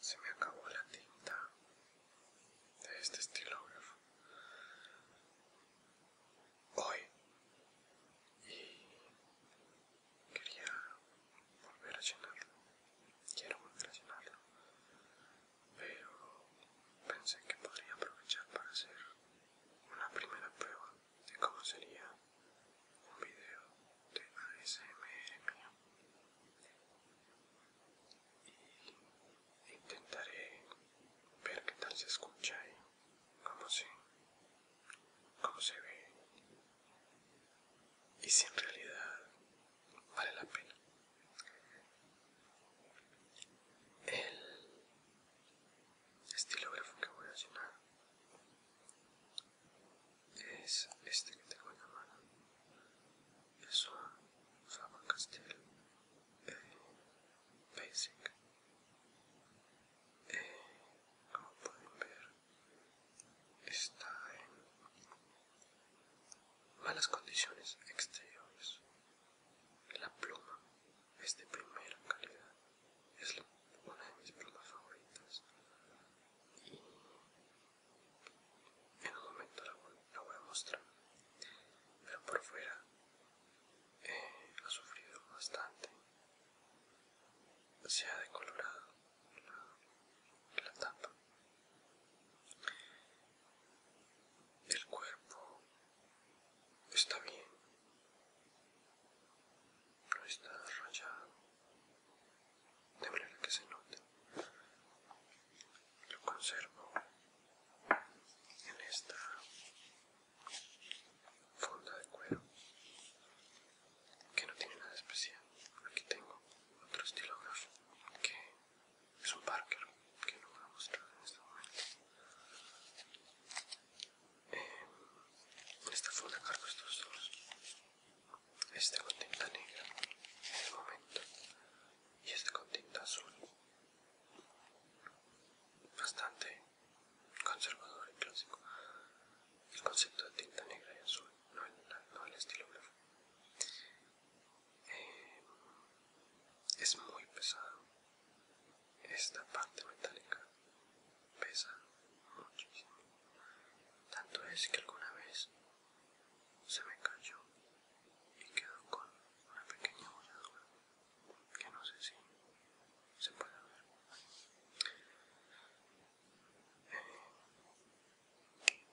Se me acabó la tinta de este estilógrafo hoy y quería volver a llenarlo. Quiero volver a llenarlo, pero pensé que podría aprovechar para hacer una primera prueba de cómo sería un video de ASMR mío intentaré ver qué tal se escucha y cómo se, cómo se ve y si en realidad vale la pena el estilógrafo que voy a llenar es este que tengo en la mano. Es un Faber Castell eh, Basic. Eh, como pueden ver, está en malas condiciones exteriores. La pluma es de primera calidad, es una de mis plumas favoritas y en un momento la voy, a mostrar pero por fuera eh, ha sufrido bastante se ha decolorado la, tapa el cuerpo está bien no está rayado de manera que se note. Lo conservo en esta funda de cuero que no tiene nada especial. Aquí tengo otro estilógrafo que es un Parker que no voy a mostrar en este momento. Eh, en esta funda cargo estos dos este con tinta negra en el momento y este con tinta azul bastante conservador y clásico el concepto de tinta negra y azul no el, estilo eh, es muy pesado esta parte metálica pesa muchísimo tanto es que alguna vez se me cayó y quedó con una pequeña bolladura que no sé si se puede ver. Eh,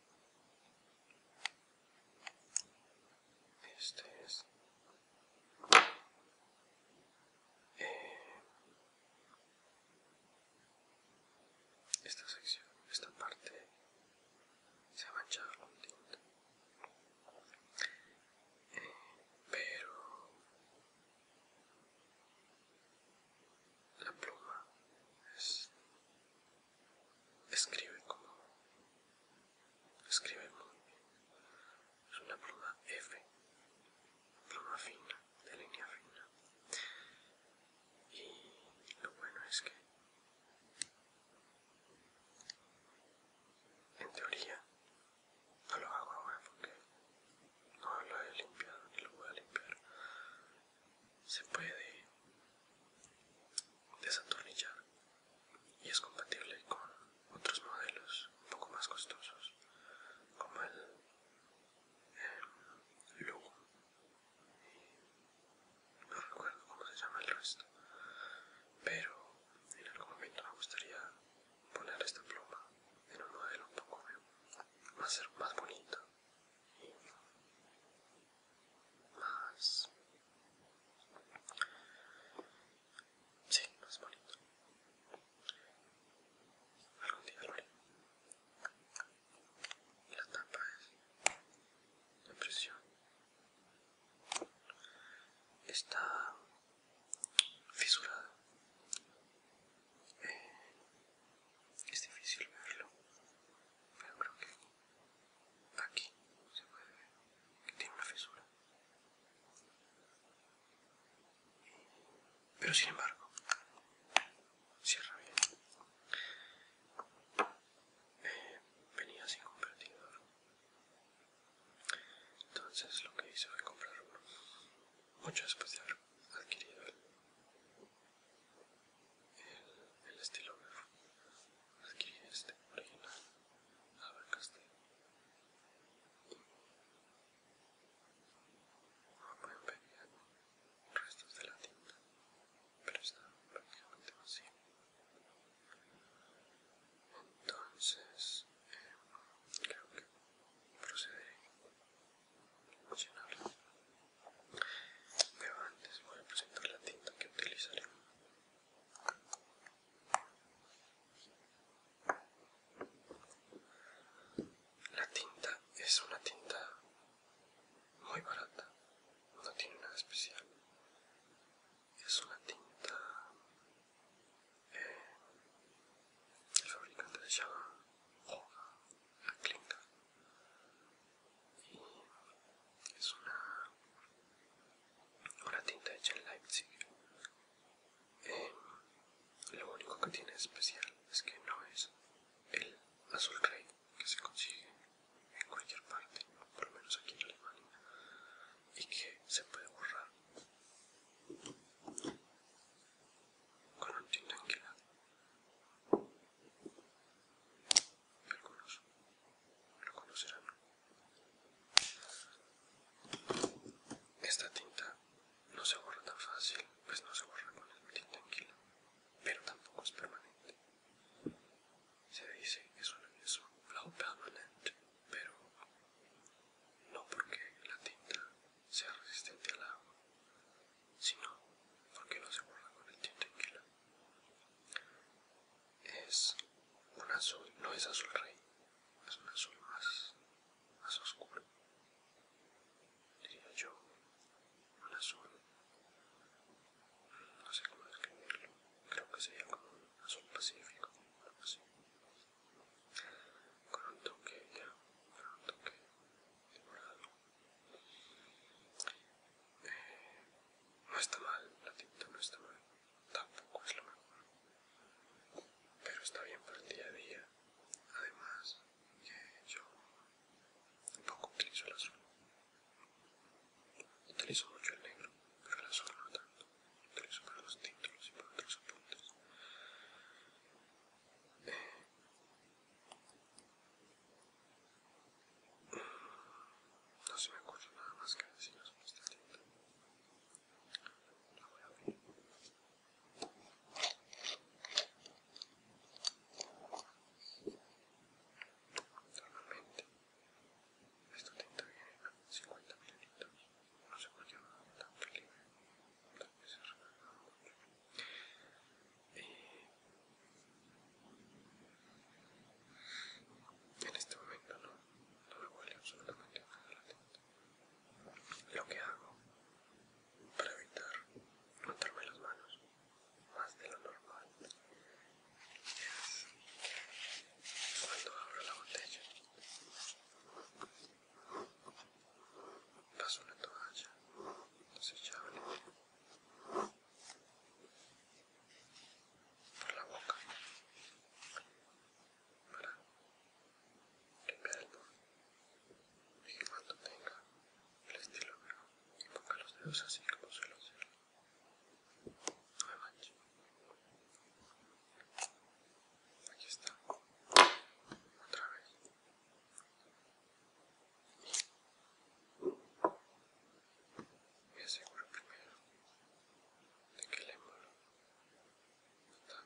este es eh, esta sección, esta parte se ha manchado con tinta. Eh, pero la pluma es, escribe como escribe muy bien. Es una pluma F, pluma fina, de línea fina y lo bueno es que en teoría no lo hago ahora porque no lo he limpiado ni lo voy a limpiar se puede desatornillar y es compatible con otros modelos un poco más costosos como el, el em, Lugo no recuerdo cómo se llama el resto, pero en algún momento me gustaría poner esta pluma en un modelo un poco más, más bonito y más... Sí, más bonito. Algún día lo la tapa es la presión está fisurada eh, es difícil verlo pero creo que aquí se puede ver que tiene una fisura pero sin embargo, cierra bien. Eh, venía sin convertidor. Entonces lo que hice fue comprar uno. Mucho después de haber adquirido el, estilógrafo. Adquirí este original. a Como pueden restos de la tinta, pero está prácticamente vacío. Entonces, eh, creo que procederé a llenarlo Pero antes voy a presentar la tinta que utilizaré la tinta es una tinta muy barata no tiene nada especial es una tinta eh, el fabricante se llama Hoga la y es una tinta hecha en Leipzig eh, lo único que tiene especial es que no es el azul rey que se consigue en cualquier parte, por lo menos aquí en Alemania, y que se puede borrar con un tinta angular. Algunos lo conocerán. Esta tinta no se borra tan fácil, pues no se borra con el tinta enquila, pero tampoco es permanente. Se dice que es un, blue permanente, pero no porque la tinta sea resistente al agua, sino porque no se borra con el tinta enquila Es un azul, no es azul rey, es un azul más más oscuro, diría yo, un azul, no sé cómo describirlo, creo que sería como un azul pacífico, algo así, con un toque ya, con un toque de morado. Eh, no está mal, la tinta no está mal, tampoco es lo mejor, pero está bien para el día a día. Además, yo tampoco utilizo el azul. Utilizo mucho el negro, pero el azul no tanto. Utilizo para los títulos y para otros apuntes. no se me ocurre nada más que decir pues, esta tinta. La voy a abrir. Normalmente, esta tinta viene a 50 mililitros. No sé por qué va tan feliz tal vez se mucho. en este momento no, me huele absolutamente nada la tinta. Lo que hago para evitar matarme las manos más de lo normal cuando abro la botella paso una toalla desechable por la boca para el Limpiadlo y cuando tenga el estilo y ponga los dedos así como suelo hacer. No me Aquí está. Otra vez. Y me aseguro primero de que el émbolo está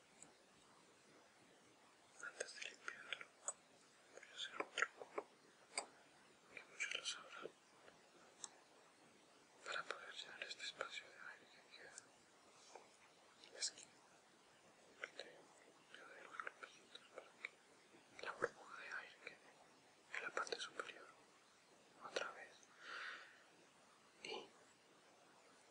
Antes de limpiarlo, voy a hacer un truco que muchos lo sabrán para poder llenar este espacio de aire que queda. Es que le para que la burbuja de aire quede en la parte superior otra vez y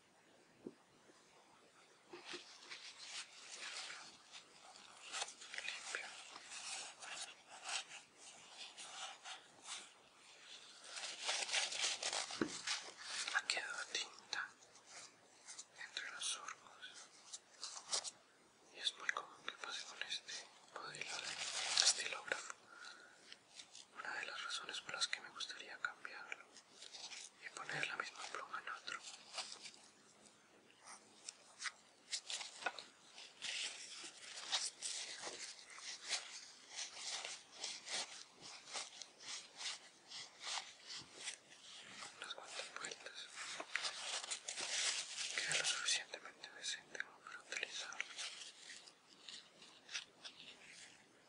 Ha quedado tinta entre los surcos y es muy común que pase con este modelo de estilógrafo una de las razones por las que me gustaría cambiarlo y poner la misma pluma en otro. Unas cuantas vueltas. Queda lo suficientemente decente como para utilizarlo.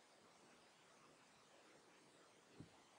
una prueba de escritura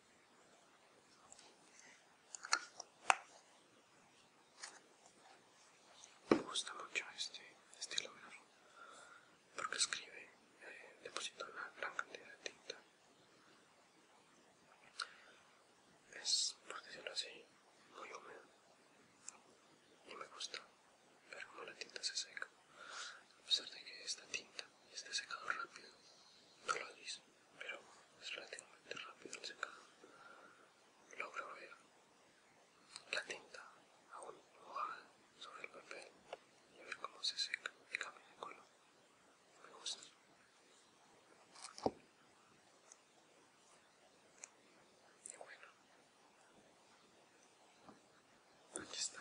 Me gusta mucho este estilo porque escribe, eh, deposito una gran cantidad de tinta. Es, por decirlo así, muy húmedo y me gusta ver cómo la tinta se seca, a pesar de que esta tinta esté secado rápido no lo dice pero es relativamente rápido el secado. Logro ver la tinta aún mojada sobre el papel y ver cómo se seca y cambia de color. Me gusta. Y bueno, aquí está.